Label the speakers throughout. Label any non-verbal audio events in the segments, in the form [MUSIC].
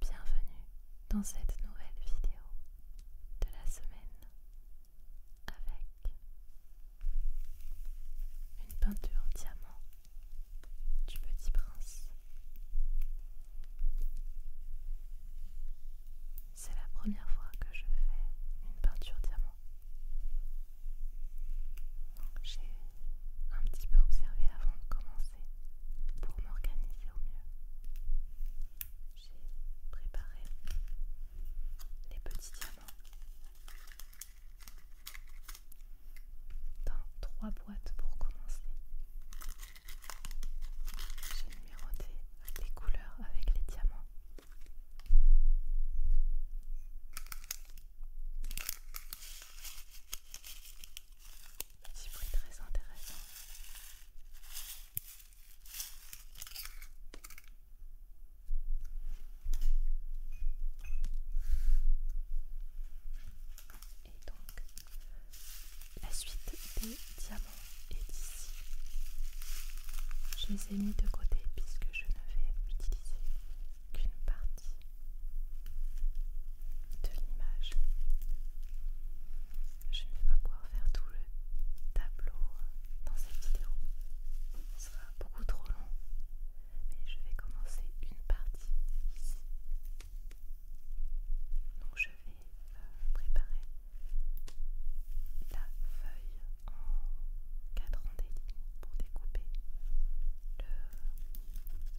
Speaker 1: Bienvenue dans cette nouvelle vidéo de la semaine avec une peinture diamant du petit prince. C'est la première fois que je fais une peinture diamant j'ai un petit peu observé avant de commencer pour m'organiser au mieux. J'ai préparé les petits diamants dans trois boîtes pour commencer. J'ai numéroté les couleurs avec les diamants c'est très intéressant. Et donc, la suite des diamants est ici. Je les ai mis de côté puisque je ne vais utiliser qu'une partie de l'image. Je ne vais pas pouvoir faire tout le tableau dans cette vidéo, ce sera beaucoup trop long, mais je vais commencer une partie ici. Donc je vais euh, préparer la feuille en cadrant des lignes pour découper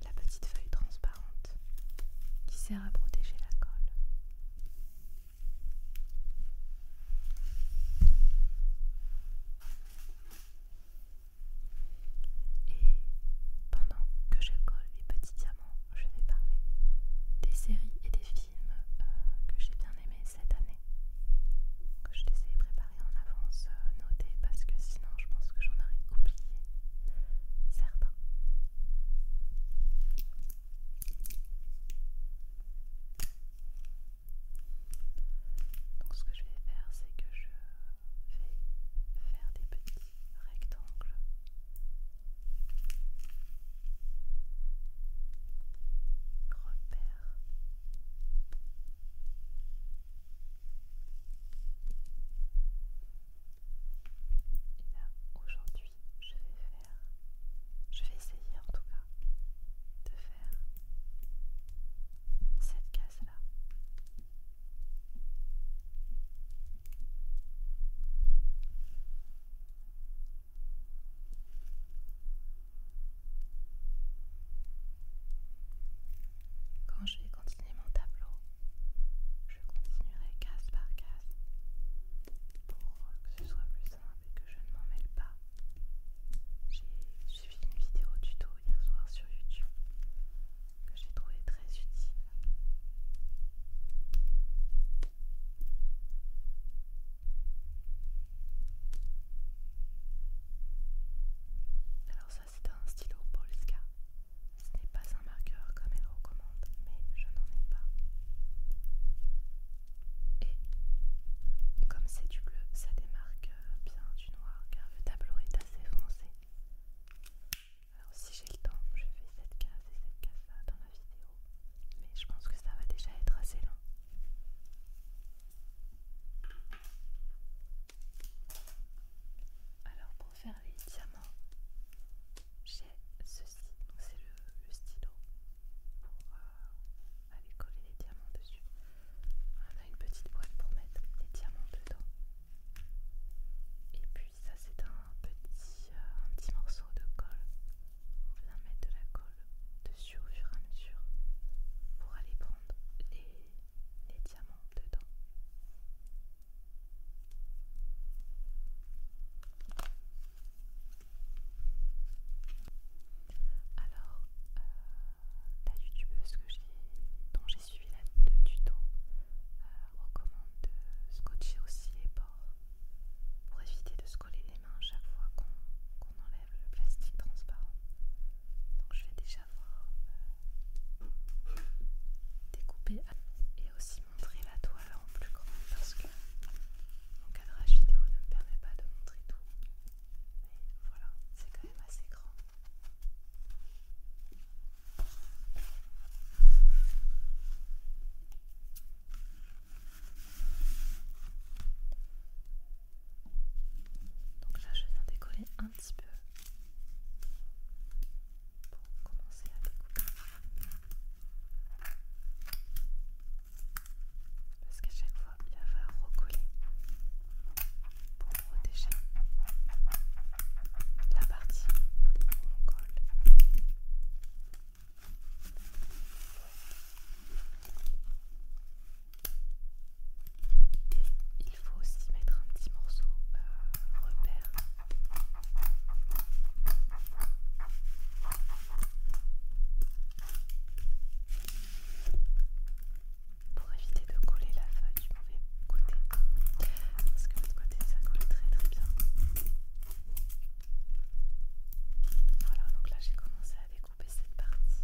Speaker 1: la petite feuille transparente qui sert à protéger la colle. Et pendant que je colle les petits diamants, je vais parler des séries et des films euh, que j'ai bien aimés cette année que je t'essayais de préparer en avance, euh, noté noter parce que sinon je pense que j'en aurais oublié certains. Donc ce que je vais faire, c'est que je vais faire des petits rectangles. repères et là, aujourd'hui, je vais faire, je vais essayer en tout cas de faire cette case-là. Quand je vais continuer mon tableau, je continuerai case par case pour que ce soit plus simple et que je ne m'en mêle pas. J'ai suivi une vidéo tuto hier soir sur YouTube que j'ai trouvé très utile. Alors ça c'est un stylo Polska. Ce n'est pas un marqueur comme elle recommande, mais je n'en ai pas. Et comme c'est du bleu, ça démarque bien du noir car le tableau est assez foncé. Alors si j'ai le temps, je fais cette case et cette case là dans la vidéo. Mais je pense que ça va déjà être assez long. Alors pour faire les diamants, j'ai ceci, c'est le, stylo pour euh, aller coller les diamants dessus. On a une petite boîte pour mettre les diamants dedans. Et puis ça c'est un petit, euh, un petit morceau de colle. On vient mettre de la colle dessus au fur et à mesure pour aller prendre les, diamants dedans. Alors, euh, la youtubeuse que dont j'ai suivi la, le tuto euh, recommande de scotcher aussi les bords pour éviter de se coller les mains chaque fois qu'on enlève le plastique transparent je vais déjà voir euh, découper et aussi montrer la toile en plus grand parce que mon cadrage vidéo ne me permet pas de montrer tout. Mais voilà, c'est quand même assez grand. Donc là, je viens décoller un petit peu pour commencer à découper. Parce qu'à chaque fois, il va recoller pour protéger la partie où on colle. Et il faut aussi mettre un petit morceau euh, repère. Pour éviter de coller la feuille du mauvais côté. Parce que l'autre côté ça colle très très bien. Voilà, donc là j'ai commencé à découper cette partie.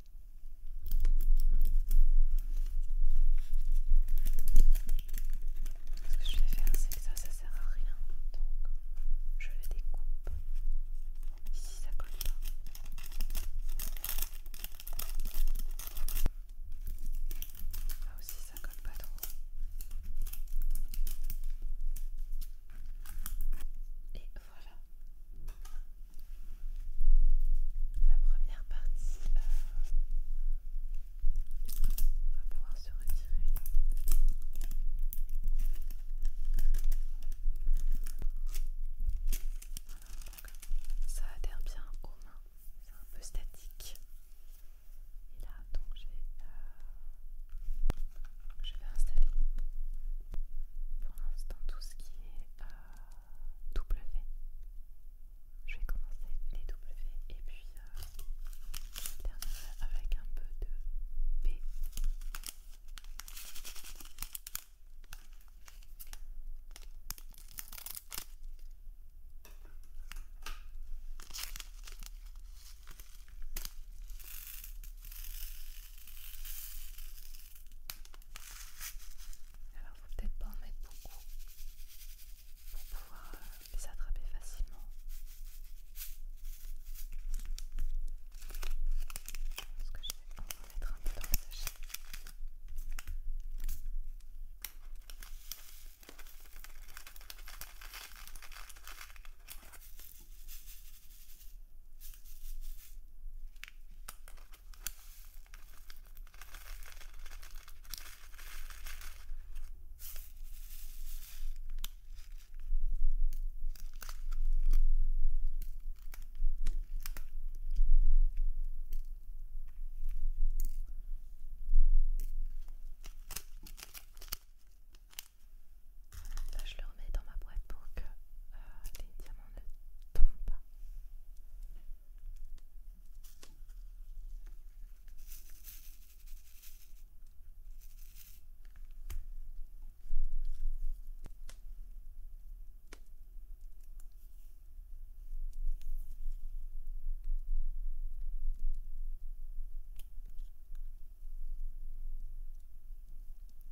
Speaker 1: Ce que je vais faire, c'est que ça, ça sert à rien. Donc, je le découpe. Ici, ça colle pas. Là aussi, ça colle pas trop. Voilà. La première partie euh, va pouvoir se retirer. ça adhère bien aux mains, c'est un peu statique. Et là, donc euh, je vais installer pour l'instant tout ce qui est euh, W. Je vais commencer les W et puis alterner euh, avec un peu de B. Alors faut peut-être pas en mettre beaucoup pour pouvoir euh, les attraper facilement. Parce que je vais en mettre un peu dans le sachet je le remets dans ma boîte pour que euh, les diamants pas.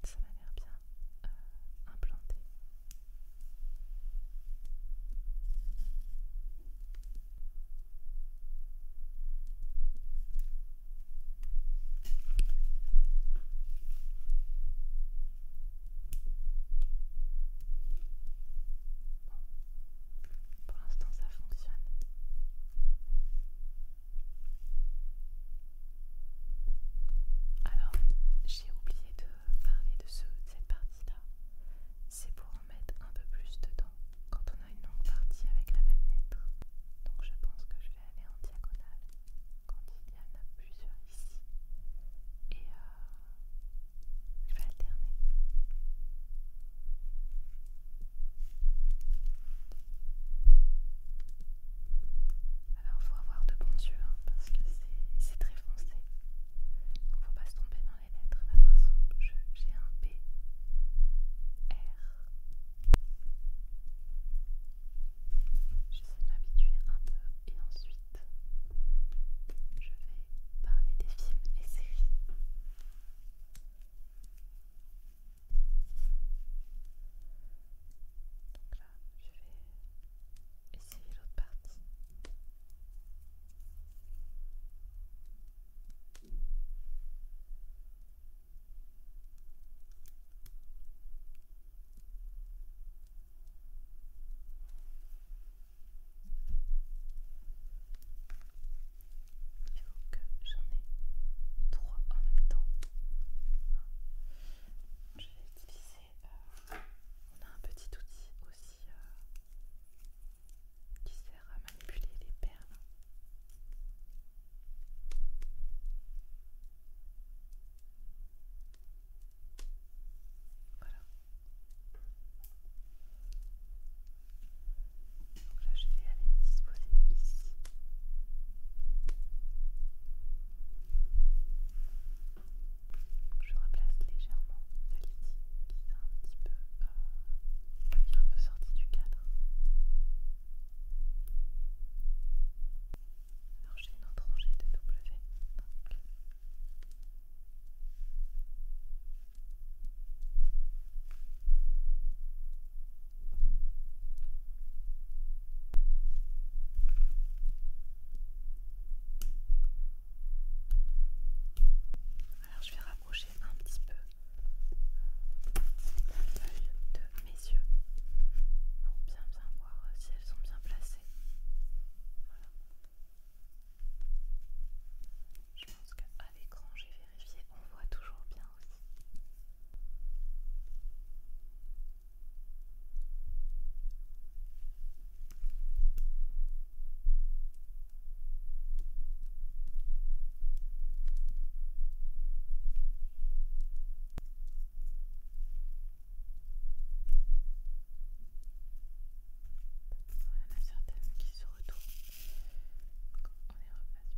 Speaker 1: Ça m'a l'air bien euh, implanté. Pour l'instant, ça fonctionne. Alors, j'ai oublié de parler de, ce, cette partie-là, c'est pour en mettre un peu plus dedans quand on a une longue partie avec la même lettre. Donc je pense que je vais aller en diagonale quand il y en a plusieurs ici. Et euh, je vais alterner. Alors, faut avoir de bons yeux hein, parce que c'est très foncé. Donc faut pas se tromper dans les lettres. Là, par j'ai un B, R. J'essaie de m'habituer un peu et ensuite je vais parler des films et séries. Donc là, je vais Essayez l'autre partie. Il faut que j'en ai trois en même temps. Je vais utiliser euh, on a un petit outil aussi euh, qui sert à manipuler les perles. Voilà. Donc là, je vais aller disposer ici. Je replace légèrement la ci qui est un petit euh, peu, sortie du cadre. Alors j'ai une autre rangée de W. Alors je vais rapprocher un petit peu la feuille de mes yeux pour bien voir si elles sont bien placées. Je pense qu'à l'écran j'ai vérifié, on voit toujours bien aussi. Il y en a certaines qui se retrouvent. On les repasse bien.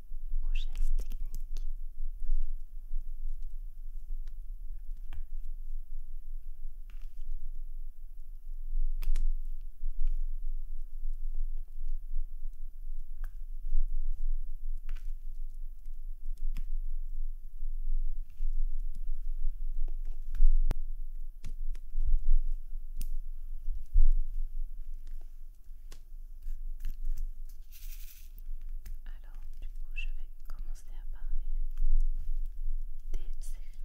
Speaker 1: au geste technique alors, du coup, je vais commencer à parler des séries.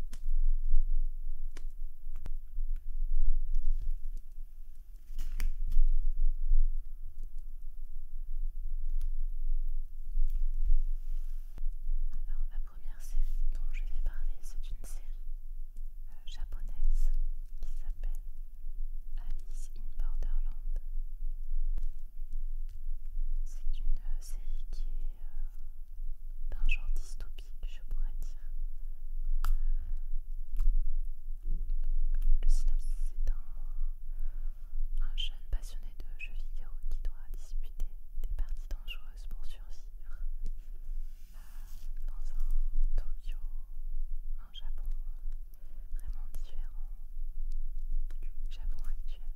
Speaker 1: Alors, la première série dont je vais parler, c'est une série euh, japonaise qui s'appelle Alice in Borderland. C'est une euh, série qui est euh, d'un genre dystopique, je pourrais dire. Euh, le synopsis c'est un, jeune passionné de jeux vidéo qui doit disputer des parties dangereuses pour survivre dans un Tokyo, un Japon vraiment différent du Japon actuel.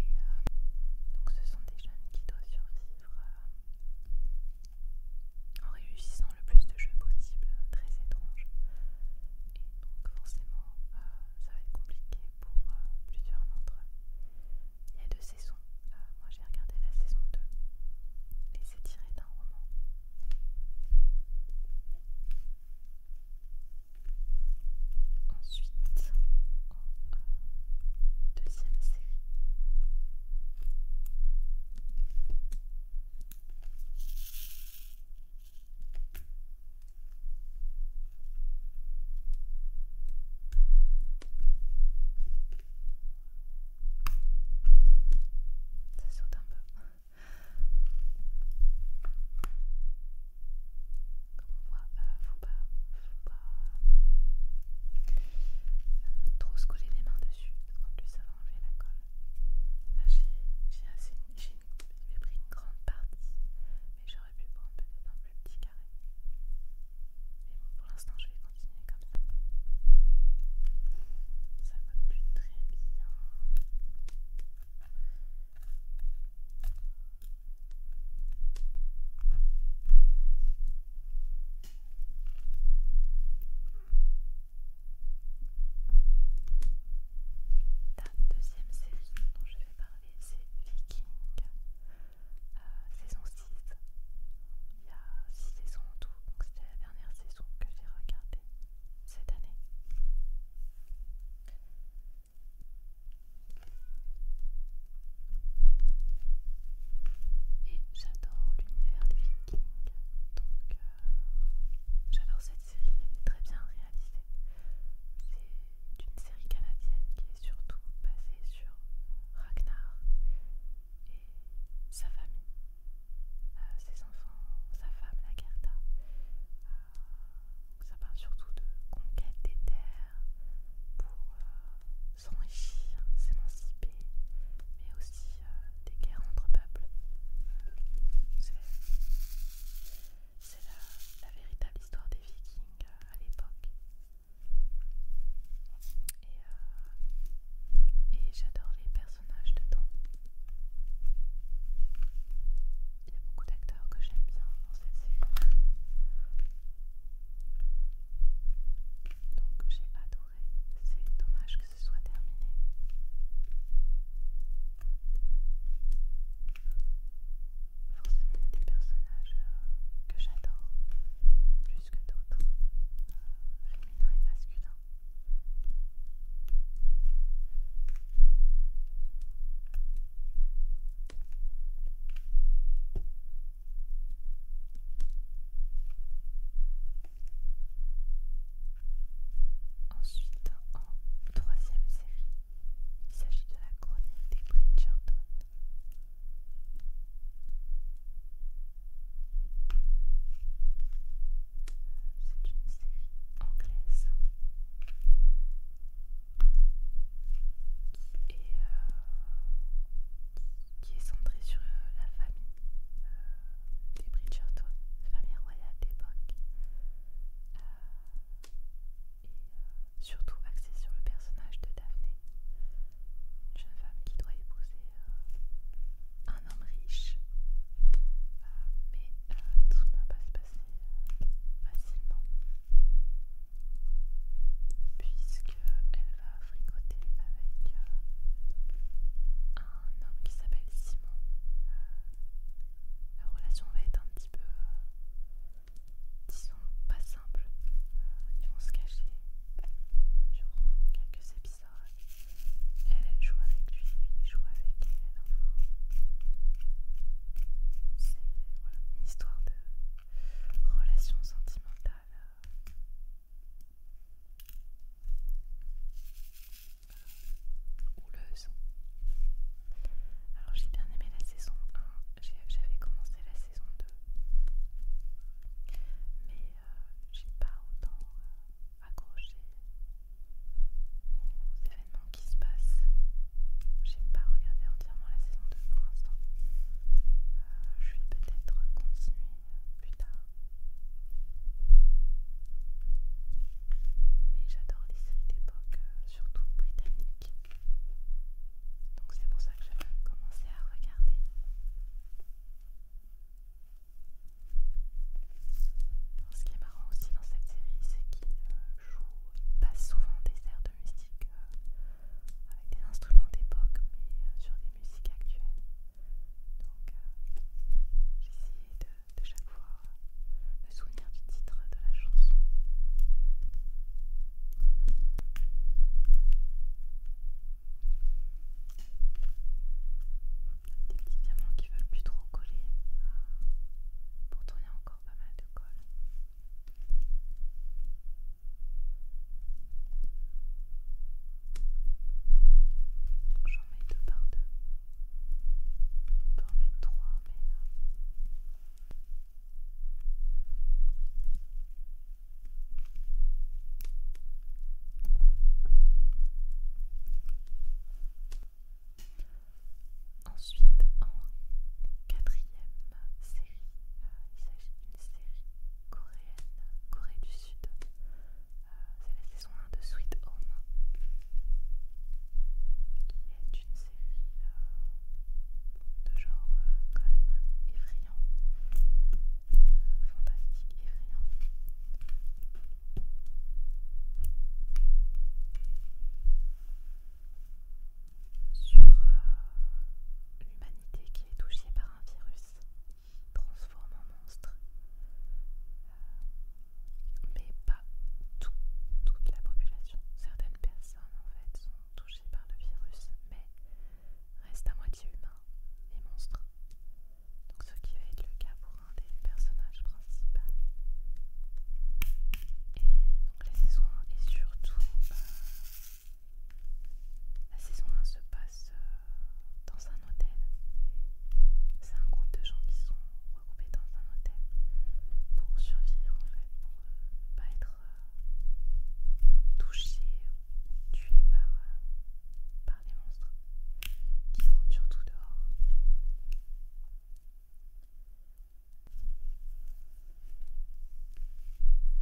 Speaker 1: Et euh, donc ce sont des jeunes qui doivent survivre euh, en réussissant le plus de jeux possible, euh, très étrange, Et donc forcément ça va être compliqué pour plusieurs d'entre eux. Il y a deux saisons moi j'ai regardé la saison 2 et c'est tiré d'un roman. Ensuite, euh, deuxième série. Ça saute un peu. Comme on voit, euh, faut pas, euh, trop se coller les mains dessus, En plus ça va enlever la colle. Là j'ai pris une grande partie, mais j'aurais pu prendre peut-être un plus petit carré. Mais bon, pour l'instant je vais continuer ça. Ça me plaît très bien. La deuxième série dont je vais parler, c'est Viking, euh, saison 6. Il y a 6 saisons en tout, donc c'est dernière saison que j'ai regardée cette année. Et j'adore l'univers des Vikings, donc euh, j'adore cette série, elle est très bien réalisée. C'est une série canadienne qui est surtout basée sur Ragnar et sa famille. Euh, ses enfants, sa femme, la Gerda. Euh, ça parle surtout de conquête des terres pour euh, s'enrichir, s'émanciper, mais aussi des guerres entre peuples. C'est la, véritable histoire des vikings à l'époque. Euh, et, j'adore les personnages dedans. Il y a beaucoup d'acteurs que j'aime bien dans cette série. Donc j'ai adoré. C'est dommage que ce soit terminé. Forcément, il y a des personnages euh, que j'adore plus que d'autres, euh, féminins et masculins. Ensuite, en troisième série, il s'agit de la chronique des Bridgerton. C'est une série anglaise et euh, qui est centrée sur euh, la famille euh, des Bridgerton, la famille royale d'époque, et surtout axée sur le personnage de Daphné, une jeune femme qui doit épouser un homme riche, euh, mais euh, tout ne va pas se passer euh, facilement, elle va fricoter avec un homme qui s'appelle Simon. la relation va être un petit peu, disons, pas simple. ils vont se cacher durant quelques épisodes elle, elle joue avec lui, il joue avec elle. Enfin, c'est une histoire de relation sentimentale. Euh, houleuse. Alors j'ai bien aimé la saison 1, j'avais commencé la saison 2, mais euh, j'ai pas autant euh, Accroché aux événements qui se passent. J'ai pas regardé entièrement la saison 2 pour l'instant. Euh, je vais peut-être continuer plus tard. Mais j'adore les séries d'époque, euh, surtout britanniques. Donc c'est pour ça que vais commencer à regarder ce qui est marrant aussi dans cette série, c'est qu'il euh, joue pas souvent des airs de euh, avec des instruments d'époque, mais euh, sur des musiques actuelles. Donc, j'essaye de, chaque fois me souvenir du titre de la chanson. Des petits diamants qui veulent plus trop coller. pour tourner encore pas mal de colle. J'en mets deux par deux. On peut en mettre trois, euh, Ensuite, en quatrième série, euh, il s'agit d'une série coréenne, Corée du Sud. Euh, c'est la saison 1 de Sweet Home, qui est une série euh, de genre quand même effrayant fantastique, effrayant. Sur euh, l'humanité qui est touchée par un virus qui transforme en monstre, euh, mais pas toute la population. Certaines personnes en fait sont touchées par le virus, mais restent à moitié humains et monstres donc ce qui va être le cas pour un des personnages principaux. Et donc la saison 1 et surtout euh, la saison 1 se passe euh, dans un hôtel. C'est un groupe de gens qui sont regroupés dans un hôtel pour survivre en fait, pour euh, ne pas être touché ou tué par, par des monstres qui rôdent surtout dehors.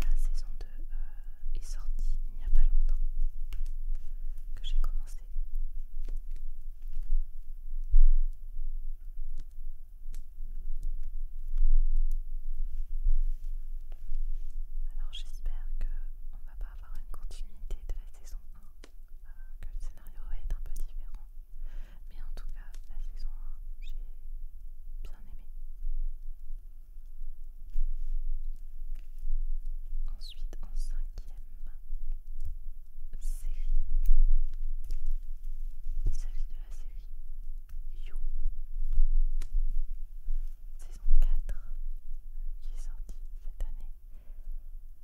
Speaker 1: La saison 2 euh, est sortie il n'y a pas longtemps que j'ai commencé. Alors j'espère que on va pas avoir une continuité de la saison 1, euh, que le scénario va être un peu différent. Mais en tout cas, la saison 1, j'ai bien aimé. Ensuite, en cinquième série, il s'agit de la série You, saison 4, qui est sortie cette année.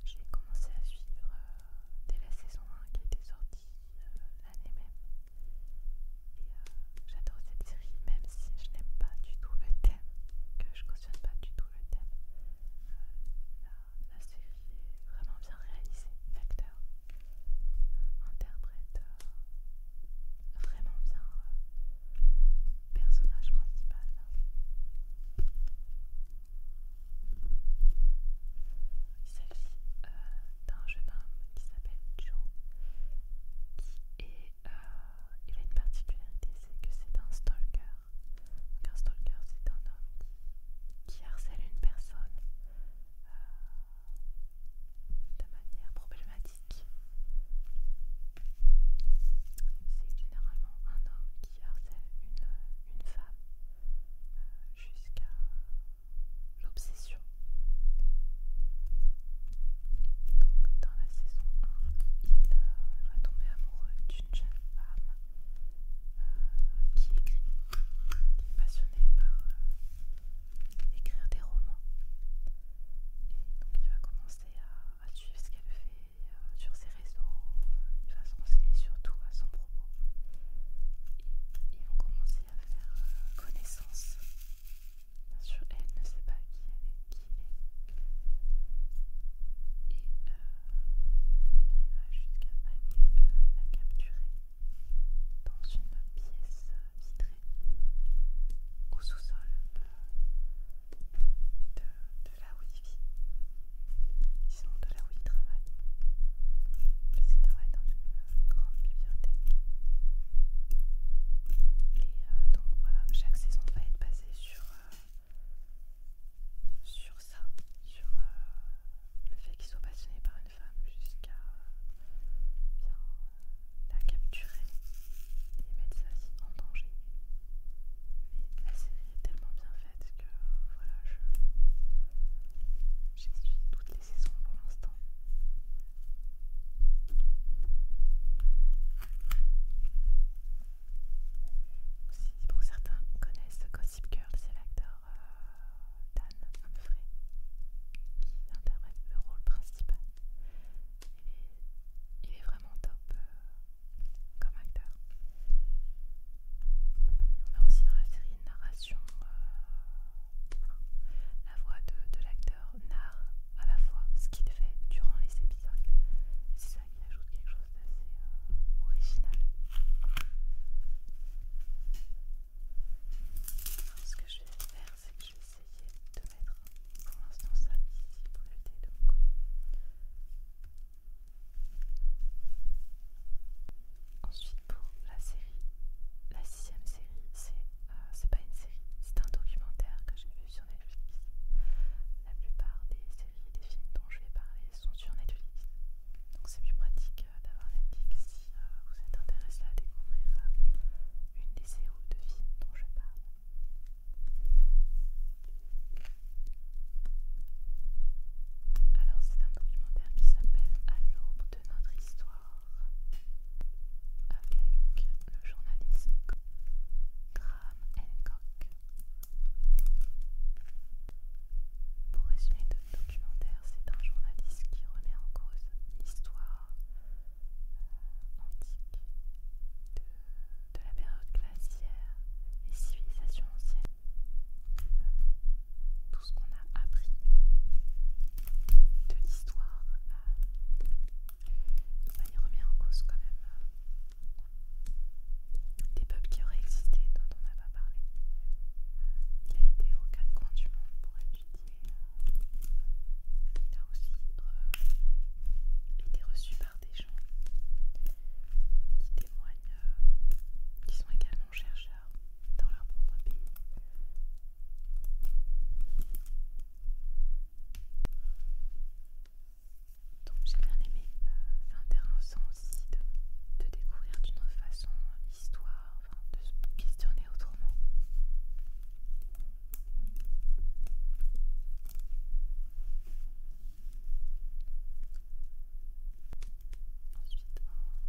Speaker 1: J'ai commencé à suivre euh, dès la saison 1 qui était sortie euh, l'année même. Et euh, j'adore cette série, même si je n'aime pas du tout le thème, que je cautionne pas du tout le thème. la, série est vraiment bien réalisée, l'acteur, interprète vraiment bien personnage principal. Il s'agit euh, d'un jeune homme qui s'appelle Joe, qui est, euh, il a une particularité, c'est que c'est un stalker. un stalker, c'est un homme qui, harcèle une personne euh, de manière problématique c'est généralement un homme qui harcèle une, femme euh, jusqu'à l'obsession. Et donc dans la saison 1, il va tomber amoureux d'une jeune femme euh, qui écrit, qui est passionnée par euh, écrire des romans. Et donc il va commencer à suivre ce qu'elle fait, euh, sur ses réseaux, il va se renseigner surtout à son propos. Et ils vont commencer à faire euh, connaissance. Bien sûr, elle ne sait pas qui elle est, qui est. Et euh, il va jusqu'à aller la capturer dans une pièce vitrée au sous-sol de, la là où il vit, de là où il travaille, puisqu'il travaille dans une euh, grande bibliothèque. Et euh, donc voilà, chaque saison va être basée sur, euh, sur ça, sur le fait qu'ils soit passionnés par une femme jusqu'à la capturer et mettre sa vie en danger. Mais la série est tellement bien faite que voilà, je j'ai toutes les saisons pour l'instant. pour certains connaissent Gossip Girl, c'est l'acteur euh, Dan Humphrey qui interprète le rôle principal. Il est, il est vraiment top. Euh, comme acteur. On a aussi dans la série une narration, euh, la voix de, l'acteur narre à la fois ce qu'il fait durant les épisodes. c'est ça qui ajoute quelque chose d'assez euh, original. ce que je vais faire, c'est que je vais essayer de mettre pour l'instant ça ici pour de Ensuite pour la série, la sixième série, c'est euh, c'est pas une série, c'est un documentaire que j'ai vu sur Netflix. La plupart des séries et des films dont je vais parler sont sur Netflix. Donc c'est plus pratique euh, d'avoir Netflix si euh, vous êtes intéressé à découvrir une des séries ou de films dont je parle. Alors c'est un documentaire qui s'appelle À l'aube de notre histoire avec le journaliste Graham Hancock. Pour résumer le documentaire, c'est un journaliste qui remet en cause l'histoire euh, antique de de la période glaciaire, les civilisations anciennes, euh, tout ce qu'on a appris de l'histoire, on euh, va bah, il remet en cause quand même euh, des peuples qui auraient existé dont on n'a pas parlé. il a été aux quatre coins du monde pour étudier. il a aussi été reçu par des gens qui témoignent, euh, qui sont également chercheurs dans leur propre pays. Donc j'ai bien aimé, euh, c'est intéressant aussi de, de découvrir d'une autre façon l'histoire, enfin, de se questionner autrement. Ensuite,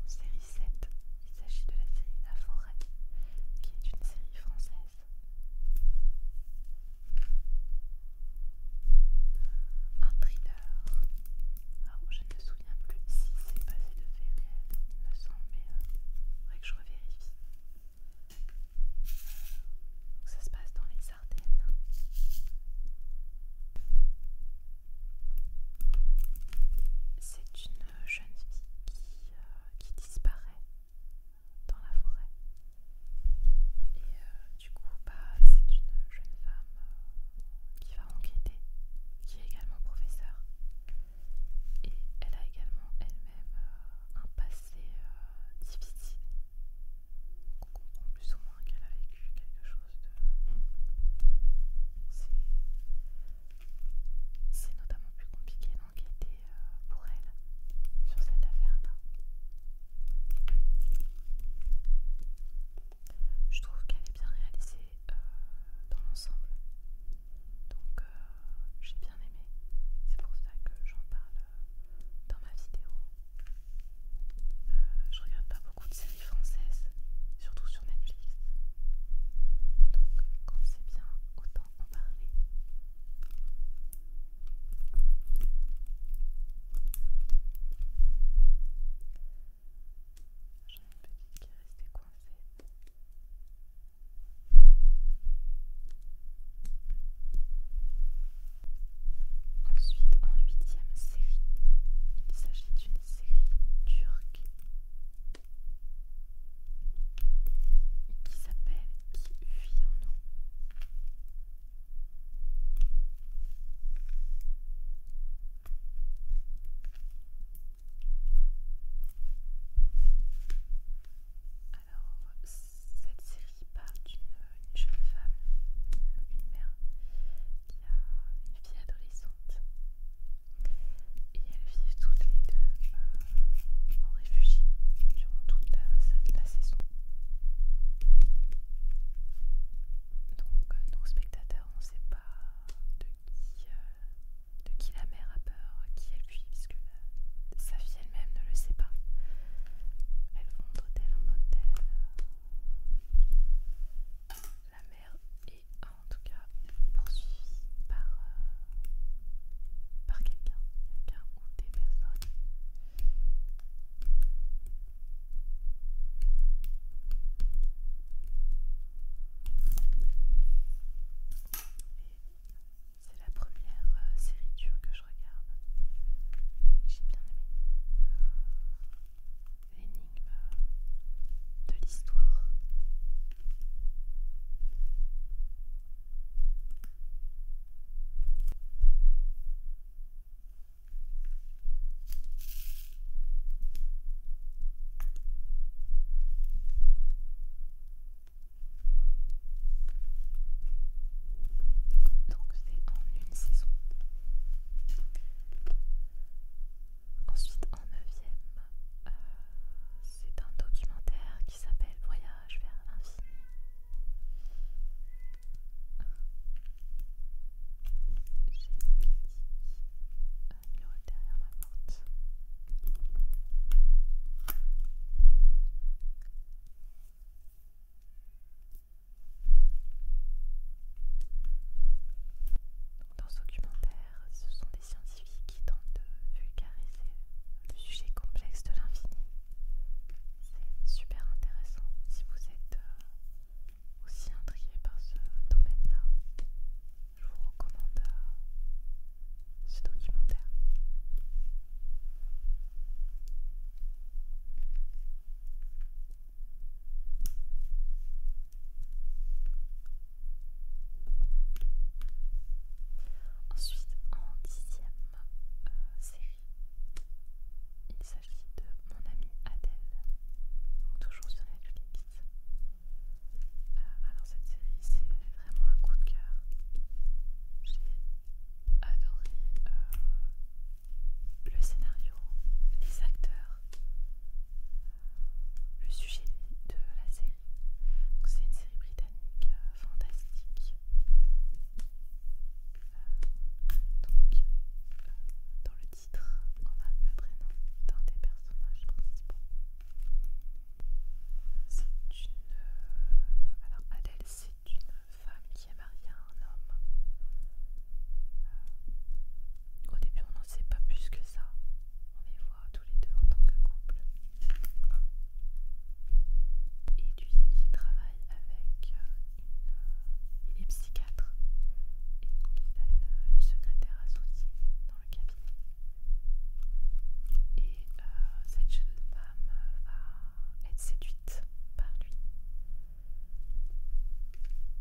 Speaker 1: en série 7, il s'agit de la série La Forêt, qui est une série française. Un thriller. je ne me souviens plus si c'est passé de fait, réel, il me semble, mais il euh, faudrait que je revérifie. Euh, ça se passe dans les c'est une jeune fille euh, qui, disparaît dans la forêt. Et euh, du coup, bah, c'est une jeune femme euh, qui va enquêter, qui est également professeure. Et elle a également elle-même un passé difficile on comprend plus ou moins qu'elle a vécu quelque chose de. Hmm. C'est notamment plus compliqué d'enquêter euh, pour elle sur cette affaire-là. Je trouve qu'elle est bien réalisée euh, dans l'ensemble. Donc euh, j'ai bien aimé. C'est pour ça que j'en parle dans ma vidéo. Euh, je regarde pas beaucoup de séries françaises, surtout sur Netflix. Donc, quand c'est bien, autant en parler. J'en ai une petite qui est restée coincée. Ensuite, en huitième série, il s'agit d'une série turque qui s'appelle Qui vit en nous cette série parle d'une jeune femme, une, mère, qui a une fille adolescente. Et elles vivent toutes les deux euh, en réfugié durant toute la, saison. Donc euh, nos spectateurs, on ne sait pas euh, de qui, la mère a peur, qui elle fuit, puisque sa fille elle-même ne le sait pas. Elles vont d'hôtel en hôtel La mère est en tout cas poursuivie par, euh, quelqu'un, quelqu'un ou des personnes. Et c'est la première euh, série dure que je regarde et j'ai bien aimé euh, l'énigme euh, de l'histoire. Donc c'est en une saison. Ensuite en neuvième, euh, c'est un documentaire qui s'appelle Voyage vers l'infini. J'ai un euh, mur derrière ma porte. Dans ce documentaire, ce sont des scientifiques qui tentent de vulgariser le sujet complexe de l'infini. C'est super intéressant si vous êtes euh, aussi intrigué par ce domaine-là. Je vous recommande euh, ce documentaire. Ensuite, en dixième euh, série, il s'agit de Mon Amie Adèle, toujours sur Netflix. Euh, alors cette série, c'est vraiment un coup de cœur. J'ai adoré euh, le scénario, les acteurs, euh, le sujet de la série. C'est une série britannique euh, fantastique. Euh, donc, dans le titre, on a le prénom d'un des personnages principaux. C'est une. alors, Adèle, c'est une femme qui est mariée à un homme. Euh, au début, on n'en sait pas plus que ça. On les voit tous les deux en tant que couple. Et lui, il travaille avec euh, une. Il est psychiatre. Et il a une, secrétaire associée dans le cabinet. Et euh, cette jeune femme va être séduite par lui.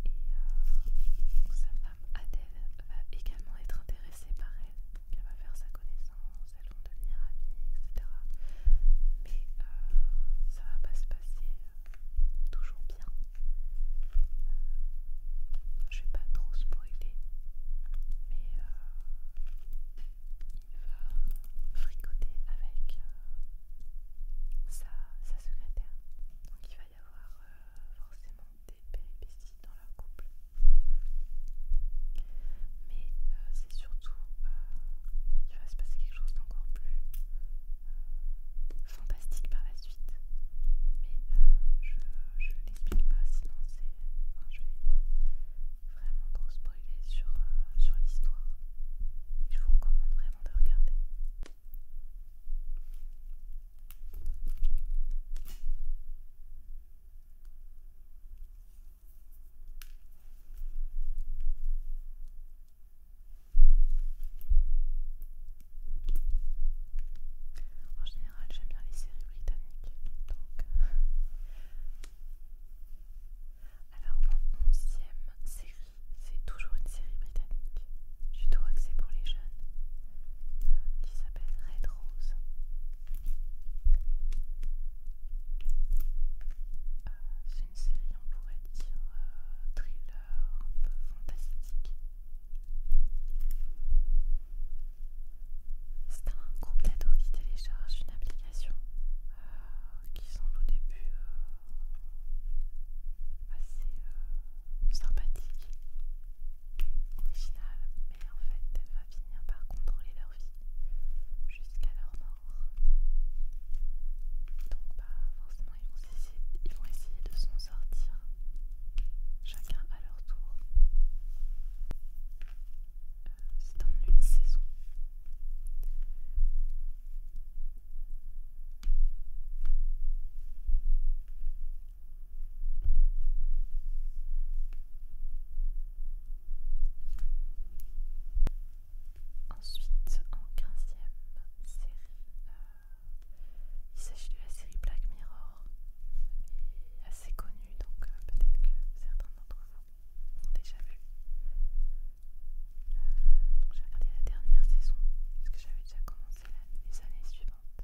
Speaker 1: Et euh, sa femme Adèle va également être intéressée par elle, elle va faire sa connaissance, elles vont devenir amies, etc. Mais euh, ça va pas se passer euh, toujours bien. je vais pas trop spoiler, mais il va fricoter avec sa, secrétaire. Donc il va y avoir euh, forcément des péripéties dans leur couple. Mais euh, c'est surtout, euh, il va se passer quelque chose d'encore plus fantastique par la suite. Mais je ne l'explique pas, sinon c'est... je vais vraiment trop spoiler sur, sur l'histoire je vous recommande vraiment de regarder. En général, j'aime bien les séries britanniques. Euh, [LAUGHS] alors, mon onzième série c'est toujours une série britannique. plutôt tout axée pour les jeunes. qui euh, s'appelle Red Rose. Euh, c'est une série, on pourrait dire, euh, thriller, un peu fantastique. C'est un groupe d'ados qui télécharge une application qui semble au début euh, assez euh, sympathique, originale, mais en fait elle va finir par contrôler leur vie jusqu'à leur mort. Donc bah, forcément ils vont essayer, de s'en sortir, chacun à leur tour. Euh, c'est en une saison. Ensuite, en 15 série, euh, il s'agit de la série Black Mirror, assez connue, donc euh, peut-être que certains d'entre vous l'ont déjà vu. Euh, donc j'ai regardé la dernière saison, parce que j'avais déjà commencé les années suivantes.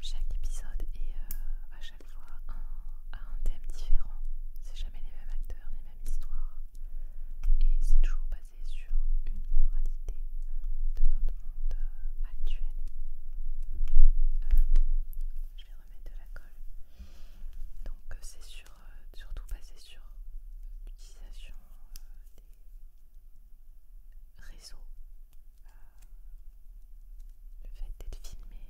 Speaker 1: Chaque épisode est euh, à un thème différent. C'est jamais les mêmes acteurs, les mêmes histoires. Et c'est toujours basé sur une moralité euh, de notre monde euh, actuel. Euh, je vais remettre de la colle. Donc c'est surtout basé sur l'utilisation des réseaux le fait d'être filmé,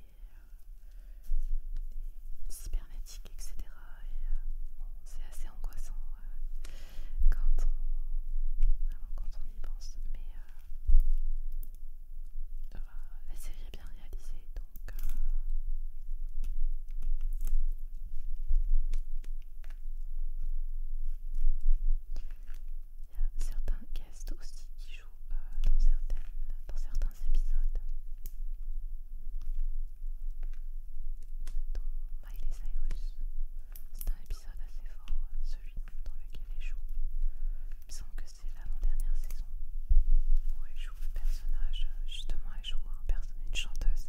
Speaker 1: euh, cybernétique, etc. Euh, c'est assez angoissant euh, quand, on, quand on y pense, mais la série est bien réalisée donc. il y a certains guests aussi qui euh, dans, certains épisodes dont Miley Cyrus c'est un épisode assez fort celui dans lequel elle joue il me que c'est l'avant-dernière saison où elle joue le personnage euh, justement elle joue une chanteuse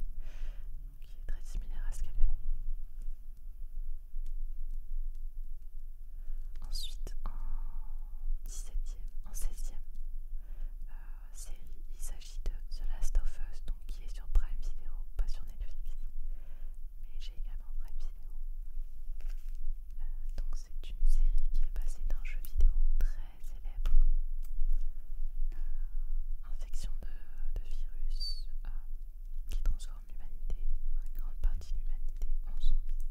Speaker 1: qui est très similaire à ce qu'elle fait Ensuite, en 17e, en 16e euh, série, il s'agit de The Last of Us, donc qui est sur Prime Video, pas sur Netflix, mais j'ai également Prime Video. Euh, donc c'est une série qui est basée d'un jeu vidéo très célèbre, euh, infection de, virus, qui transforme l'humanité, une grande partie de l'humanité en zombie.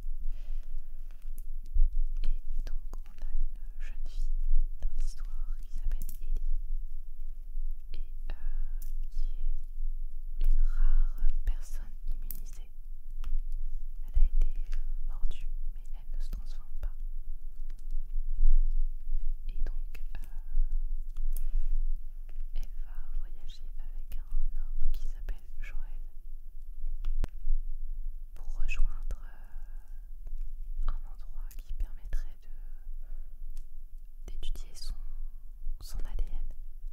Speaker 1: Et donc on a une jeune fille dans l'histoire qui s'appelle Ellie et euh, qui est une rare personne immunisée. Elle a été euh, mordue mais elle ne se transforme pas. Et donc euh, elle va voyager avec un homme qui s'appelle Joël pour rejoindre euh, un endroit qui permettrait d'étudier son, son ADN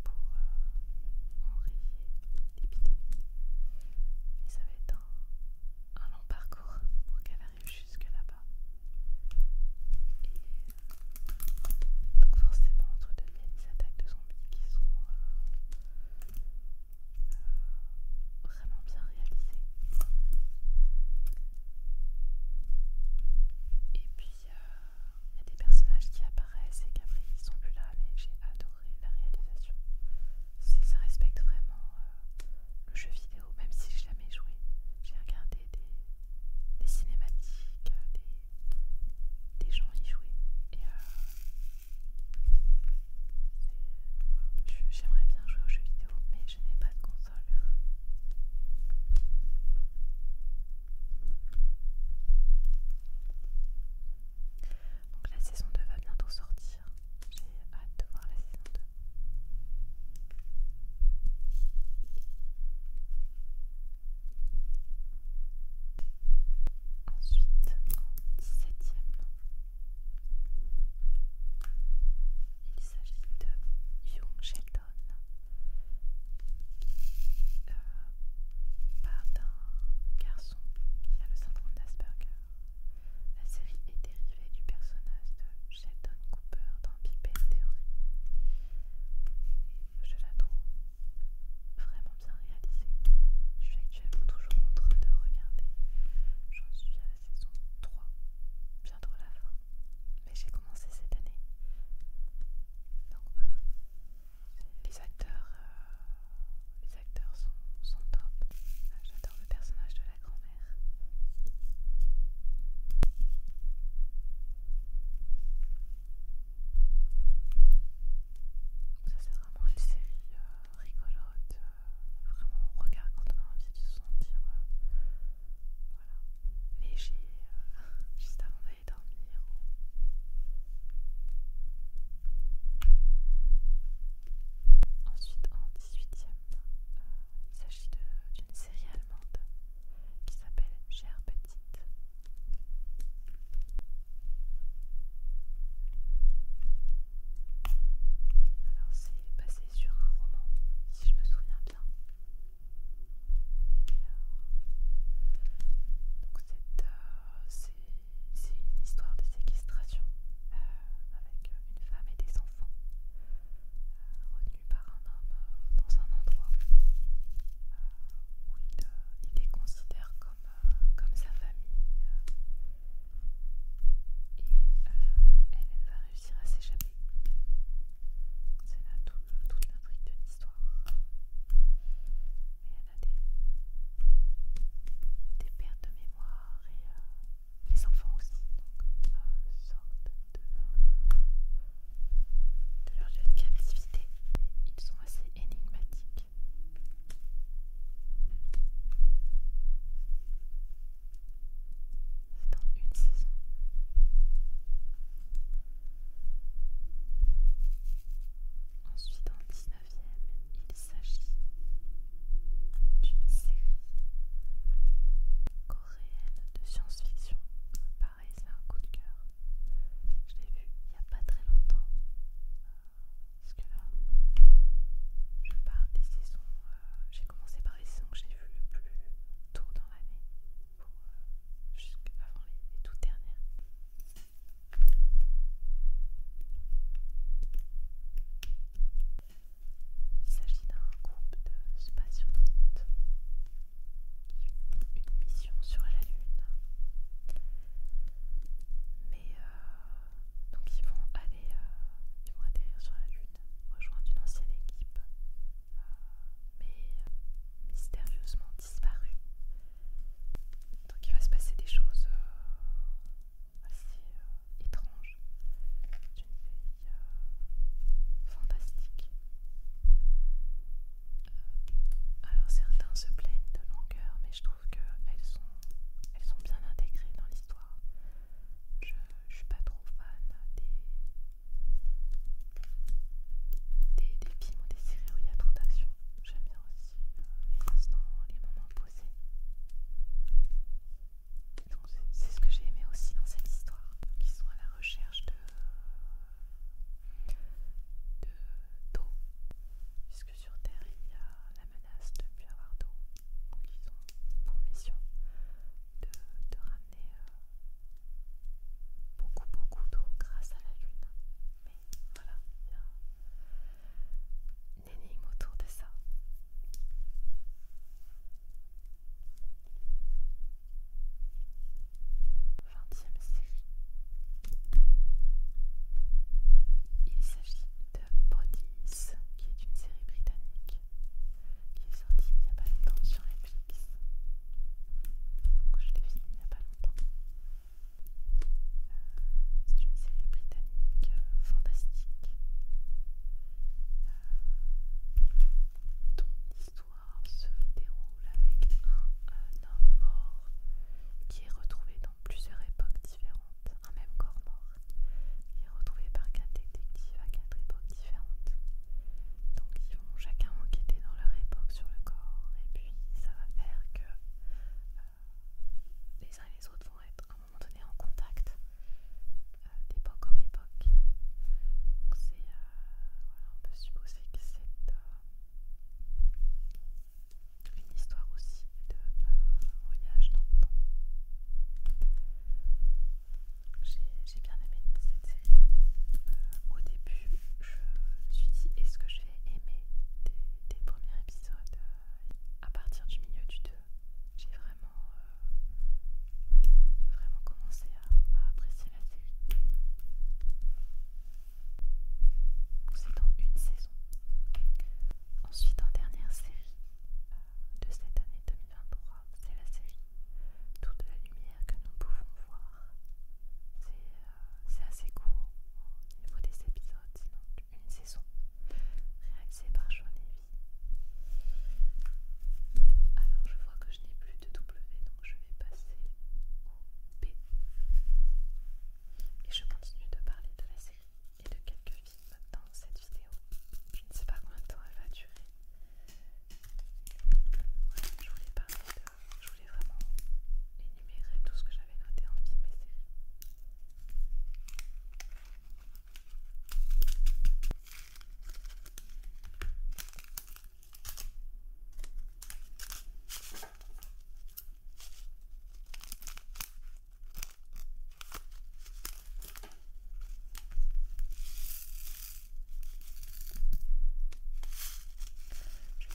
Speaker 1: pour euh, enrayer l'épidémie. Mais ça va être un, long parcours pour qu'elle arrive jusque là-bas. Et euh, donc forcément, entre deux, il y des attaques de son qui sont vraiment bien réalisés. Et puis il y a des personnages qui apparaissent et qu'après ils sont plus là, mais j'ai adoré la réalisation. Ça respecte vraiment le jeu vidéo, même si j'ai jamais joué. J'ai regardé des, des cinématiques, euh, des des gens y jouer. Euh, j'aimerais bien jouer aux jeux vidéo, mais je n'ai pas de console. Donc la saison 2 va bientôt sortir. J'ai hâte de voir la saison 2 ensuite en septième il s'agit de Young Sheldon par d'un garçon qui a le syndrome d'Asperger la série est dérivée du personnage de Sheldon Cooper dans Big Bang Theory je la trouve vraiment bien réalisé. Je suis actuellement toujours en train de regarder. J'en suis à la saison 3, bientôt la fin. Mais j'ai commencé cette année. Donc voilà. Les acteurs, euh, les acteurs sont, sont top. J'adore le personnage de la grand-mère. Ça c'est vraiment une série euh, rigolote, euh, vraiment on regard quand on a envie de se sentir euh, léger [LAUGHS] juste avant d'aller dormir. Ensuite en 18ème, il s'agit d'une série allemande qui s'appelle Gerbe alors c'est basé sur un roman, si je me souviens bien. donc c'est une histoire de séquestration euh, avec euh, une femme et des enfants euh, retenus par un homme dans un endroit où il, il les considère comme euh, comme, sa famille. Et euh, elle, va réussir à s'échapper. C'est là toute l'intrigue de l'histoire. Et elle a des, pertes de mémoire et euh, les enfants aussi. sortent de leur, de de captivité. Et ils sont assez énigmatiques. C'est dans une saison. Ensuite, en 19ème, il s'agit d'une série coréenne de science-fiction. Pareil, c'est un coup de cœur. Je l'ai vu il n'y a pas très longtemps. Euh, parce que là, je parle des saisons. Euh, j'ai commencé par les saisons que j'ai vues le plus tôt dans l'année, euh, jusqu'avant les, toutes dernières. Il s'agit d'un groupe de spationautes qui une mission sur la Lune. Mais euh, donc ils vont aller, euh, ils vont atterrir sur la Lune, rejoindre une ancienne équipe, euh, mais mystérieusement disparue. Donc il va se passer des choses assez étranges, d'une vie fantastique. Euh, alors certains se plaignent de longueur, mais je trouve qu'elles sont, elles sont bien intégrées dans l'histoire. Je, ne suis pas trop fan des, des, films ou des séries où il y a trop d'action. J'aime bien aussi euh, les instants, les moments posés. c'est ce que j'ai aimé aussi dans cette histoire, qui sont à la recherche de d'eau, sur Terre, il y a la menace de ne plus avoir d'eau. Donc ils ont pour mission de, ramener euh, beaucoup beaucoup d'eau grâce à la Lune. Mais voilà, il y a une énigme autour de ça. Vingtième série. Il s'agit de Bodies, qui est une série britannique qui est sortie il n'y a pas longtemps sur Netflix. Donc je l'ai vu il n'y a pas longtemps. Euh, c'est une série britannique euh, fantastique euh, dont l'histoire se déroule avec un, homme mort qui est retrouvé dans plusieurs époques différentes, un même corps mort qui est retrouvé par quatre détectives à quatre époques différentes. Donc ils vont chacun enquêter dans leur époque sur le corps et puis ça va faire que euh, les uns et les autres vont être à un moment donné en contact euh, d'époque en époque. Donc c'est euh, voilà, on peut supposer que c'est une histoire aussi de euh, voyage dans le temps. J'ai bien aimé cette série. Euh, au début, je me suis dit est-ce que je vais aimer des, premiers épisodes euh, À partir du milieu du 2, j'ai vraiment, vraiment commencé à apprécier la série. C'est dans une saison. Ensuite, en dernière série euh, de cette année 2023, c'est la série de la lumière que nous pouvons voir. C'est euh, assez court au niveau des épisodes, une saison réalisée par Sean Alors, je vois que je n'ai plus de W, donc je vais passer au B et je continue de parler de la série et de quelques films dans cette vidéo. Je ne sais pas combien de temps elle va durer. je voulais Je voulais vraiment énumérer tout ce que j'avais noté en film et série. Je vais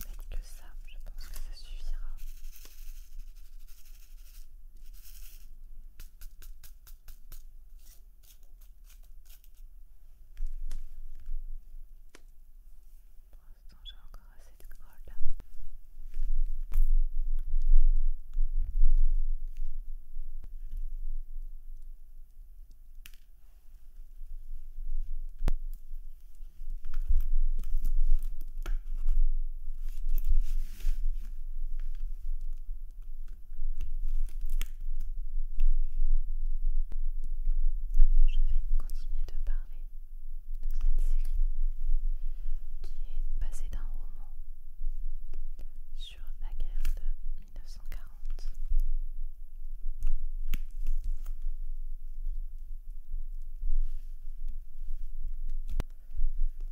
Speaker 1: mettre que ça, je pense que ça suffira j'ai encore assez de colle alors je vais continuer de parler de cette série qui est basée d'un roman sur la guerre de 1940.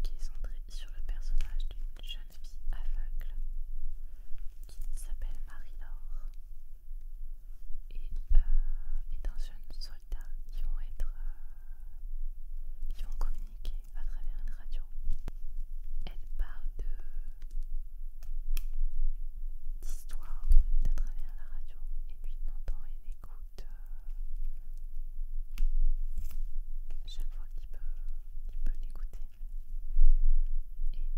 Speaker 1: Qui est centré sur le personnage d'une jeune fille aveugle qui s'appelle Marie-Laure et, d'anciens euh, et jeune qui vont être euh, qui vont communiquer à travers une radio. Elle parle de d'histoire à travers la radio et puis l'entend et écoute euh, chaque fois qu'il peut qu'il peut l'écouter.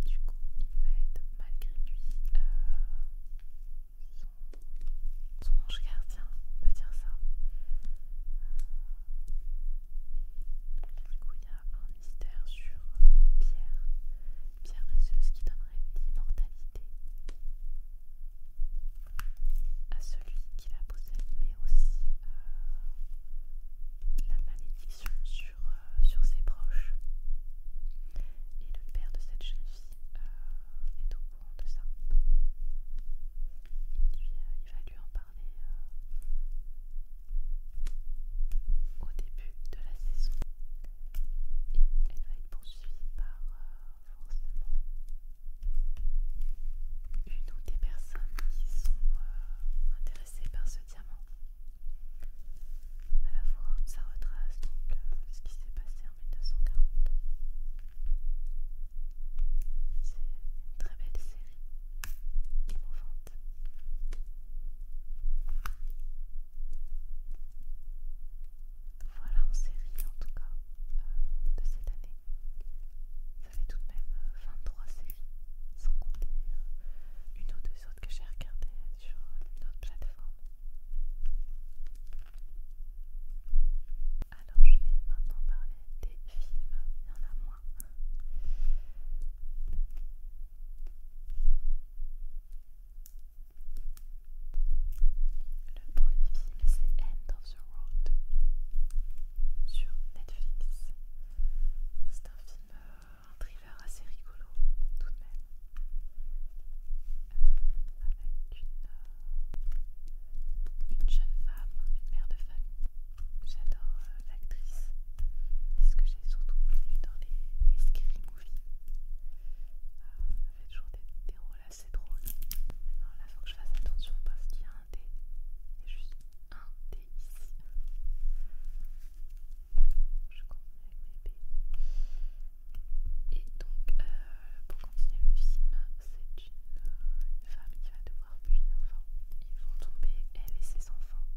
Speaker 1: Et du coup, il va être malgré lui son, ange gardien, on peut dire ça. Euh, et du coup, il y a un mystère sur une pierre, une pierre précieuse qui donnerait l'immortalité à celui qui la possède, mais aussi euh, la malédiction sur, euh, sur ses proches. Et le père de cette jeune fille est au ça. Il, va lui en parler euh, au début de la saison. Et elle va être poursuivie par euh, forcément une ou des personnes qui sont euh, intéressées par ce diamant. À la fois, ça retrace donc ce qui s'est passé c'est une très belle série, émouvante. Voilà en série en tout cas de cette année. Vous avez tout de même 23 euh, séries, sans compter euh, une ou deux autres que j'ai regardées euh, sur une autre plateforme. Alors je vais maintenant parler des films, il y en a moins. Le premier film c'est End of the Road sur Netflix. C'est un film, euh, un thriller assez rigolo tout de même. Euh, avec euh, une, jeune femme, une mère de famille. J'adore euh, l'actrice, c'est ce que j'ai surtout connu dans les, scary movies. elle fait toujours des, rôles assez drôles. là, faut que je fasse attention parce qu'il y a un dé. Il y a juste un dé ici. Je continue avec mes dé et donc, euh, pour continuer le film, c'est une, femme qui va devoir fuir. Enfin, ils vont tomber, elle et ses enfants,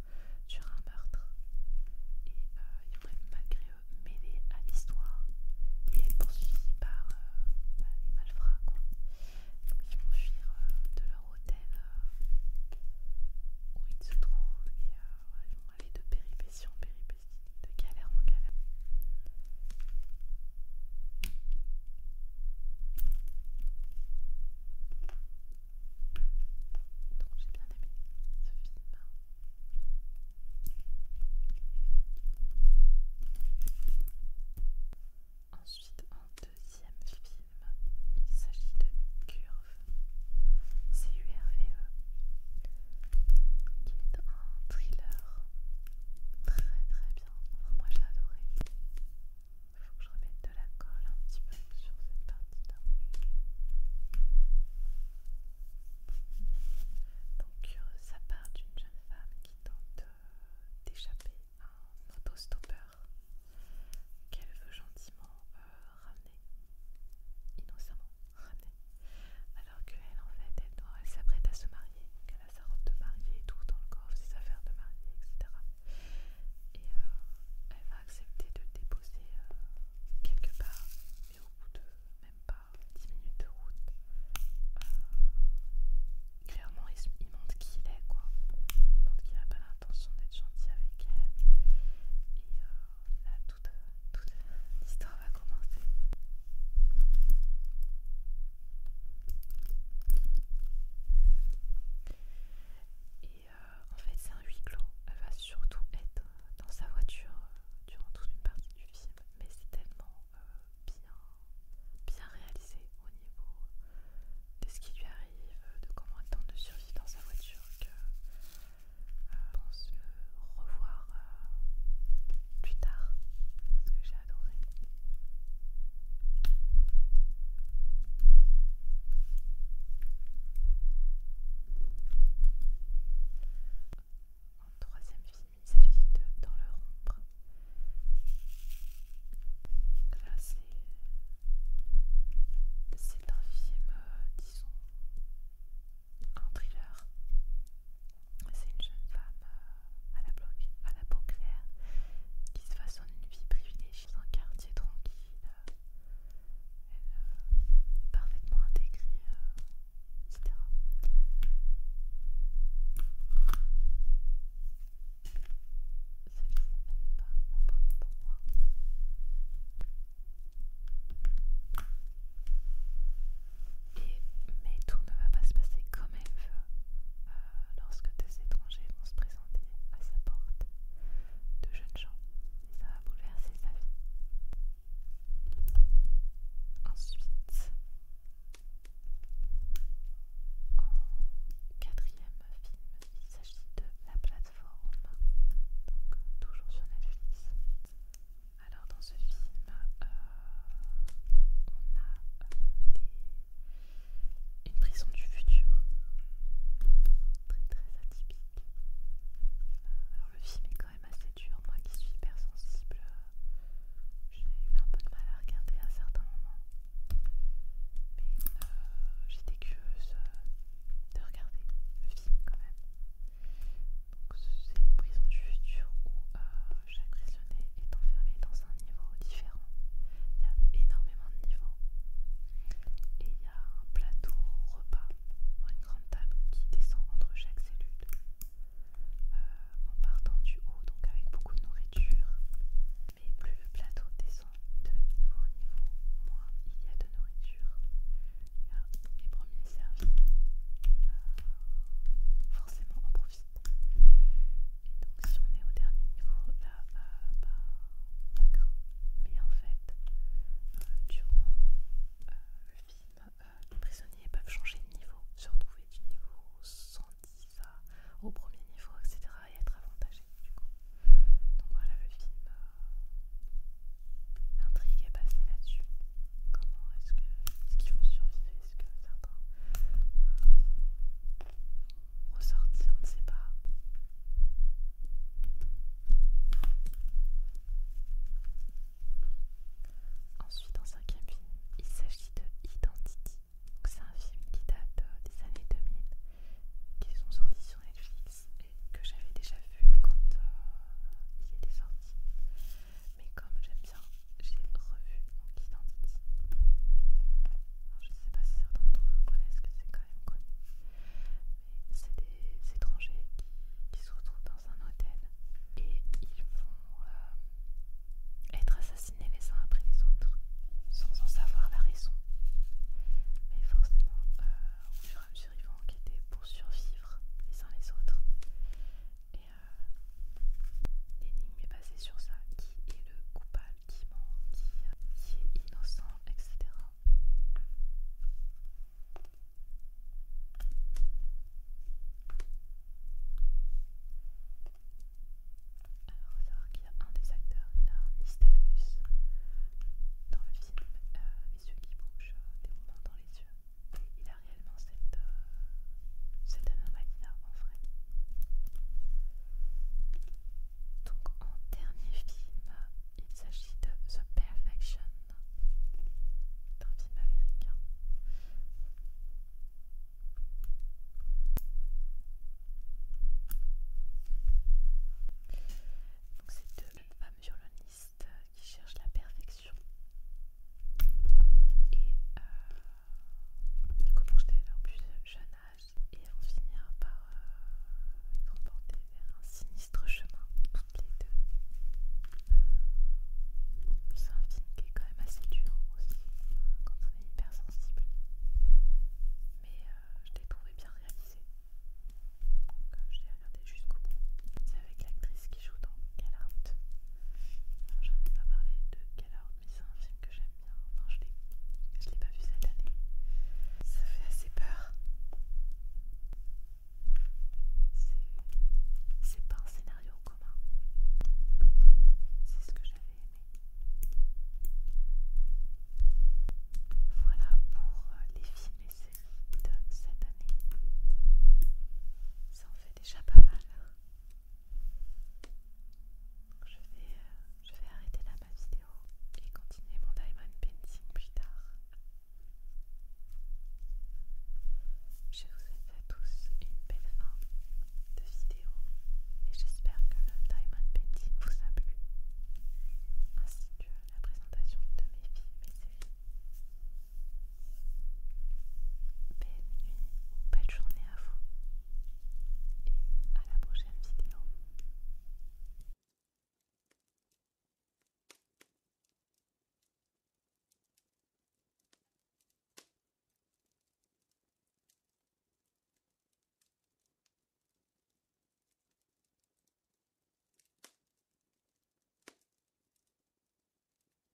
Speaker 1: sur un meurtre. Et ils vont être malgré eux mêlés à l'histoire et être poursuivis par euh, bah, les malfrats. Donc, ils vont fuir euh, de leur hôtel où ils se trouvent et ils vont aller de péripétie en de caverne en caverne. Donc j'ai bien aimé ce film. Ensuite, en deuxième film, il s'agit de Curve, C-U-R-V-E, qui est un thriller très très bien. moi j'ai adoré. Faut que je remette de la colle un petit peu sur cette partie-là. Donc euh, ça part d'une jeune femme qui tente euh, d'échapper à un auto autostoppeur qu'elle veut gentiment euh, ramener, innocemment ramener alors qu'elle en fait elle s'apprête à se marier qu'elle a sa robe de mariée et tout dans le corps ses affaires de mariée etc et euh, elle va accepter de le déposer euh, quelque part mais au bout de même pas 10 minutes de route euh, clairement il, montre qui il est quoi il montre qu'il n'a pas l'intention d'être gentil avec elle et là tout l'histoire va commencer. Et euh, en fait, c'est un huis clos. Elle va surtout être dans sa voiture euh, durant toute une partie du film, mais c'est tellement euh, bien, bien réalisé au niveau de ce qui lui arrive, de comment elle tente de survivre dans sa voiture que pense le revoir plus tard parce que j'ai adoré. En troisième film, il s'agit de Dans le rompre. Là, c'est un film, euh, disons, un thriller. C'est une jeune femme euh, à, la à la peau claire qui se façonne une vie privilégiée dans un quartier tranquille. Elle est euh, parfaitement intégrée, euh, etc. Cette elle n'est pas au bon moi mais tout ne va pas se passer comme elle veut euh, lorsque des étrangers vont se présenter à sa porte de jeunes gens. Et ça va bouleverser sa vie. Ensuite, en quatrième film, il s'agit de La plateforme, donc toujours sur Netflix. Alors dans ce film, euh, on a euh, une prison du futur, très très atypique. Alors le film est quand même assez dur, moi qui suis hypersensible, euh, j'ai eu un peu de mal à regarder à certains moments. Mais j'étais curieuse de regarder le film quand même c'est une prison du futur où euh, chaque prisonnier est enfermé dans un niveau différent. Il y a énormément de niveaux. Et il y a un plateau repas, une grande table qui descend entre chaque cellule. Euh, en partant du haut, donc avec beaucoup de nourriture. Mais plus le plateau descend de niveau en niveau, moins il y a de nourriture. a les premiers services euh, forcément en profite. Et donc si on est au dernier niveau, là, euh, bah, craint. Mais en fait, euh, durant euh, le film, euh, les prisonniers peuvent changer de niveau, se retrouver du niveau 110 au premier niveau, etc. et être avantagés du coup. Donc voilà le film. L'intrigue est basée là-dessus. Comment est-ce qu'ils vont survivre que certains euh, on ne sait pas. Ensuite, en cinquième film, il s'agit de Identity. C'est un film qui date euh, des années 2000, qui sont sortis sur Netflix et que j'avais déjà vu quand euh, il était sorti. Mais comme j'aime bien j'ai revu mon Identity. je ne sais pas si certains d'entre vous connaissent, que c'est quand même connu. Mais c'est des étrangers qui, se retrouvent dans un hôtel et ils vont euh, être assassinés les uns après les autres sans en savoir la raison. Mais forcément, euh, au fur et à mesure, ils pour survivre les uns les autres. Euh, l'énigme est basée sur ça, qui est le coupable, qui ment, qui, euh, est innocent, etc. Alors, il savoir qu'il y a un des acteurs, il a un dans le film, euh, les yeux qui bougent, des moments dans les yeux il a réellement cette, euh, cette anomalie là en vrai. Donc en dernier film, il s'agit de The Perfection, d'un film américain. Donc c'est deux femmes violonistes qui cherchent la perfection et euh, elles commencent dès plus euh, jeune âge et on finir par euh, être emportées vers un sinistre chemin, toutes les deux. Euh, c'est un film qui est quand même assez dur aussi quand on est hypersensible. Mais je l'ai trouvé bien réalisé. je l'ai regardé jusqu'au bout. C'est avec l'actrice qui joue dans J'en ai pas parlé de mais c'est un film que j'aime bien. je ne l'ai pas vu cette année. Ça fait assez peur. C'est pas un scénario commun. C'est ce que j'avais aimé. Voilà pour euh, les films et séries de cette année. Ça en fait déjà pas mal. Euh, je vais, arrêter là ma vidéo et continuer mon diamond painting plus tard. Je vous souhaite à tous une belle fin de vidéo et j'espère que le diamond painting vous a plu ainsi que la présentation de mes films et séries. Belle nuit belle journée à vous. Et à la prochaine vidéo.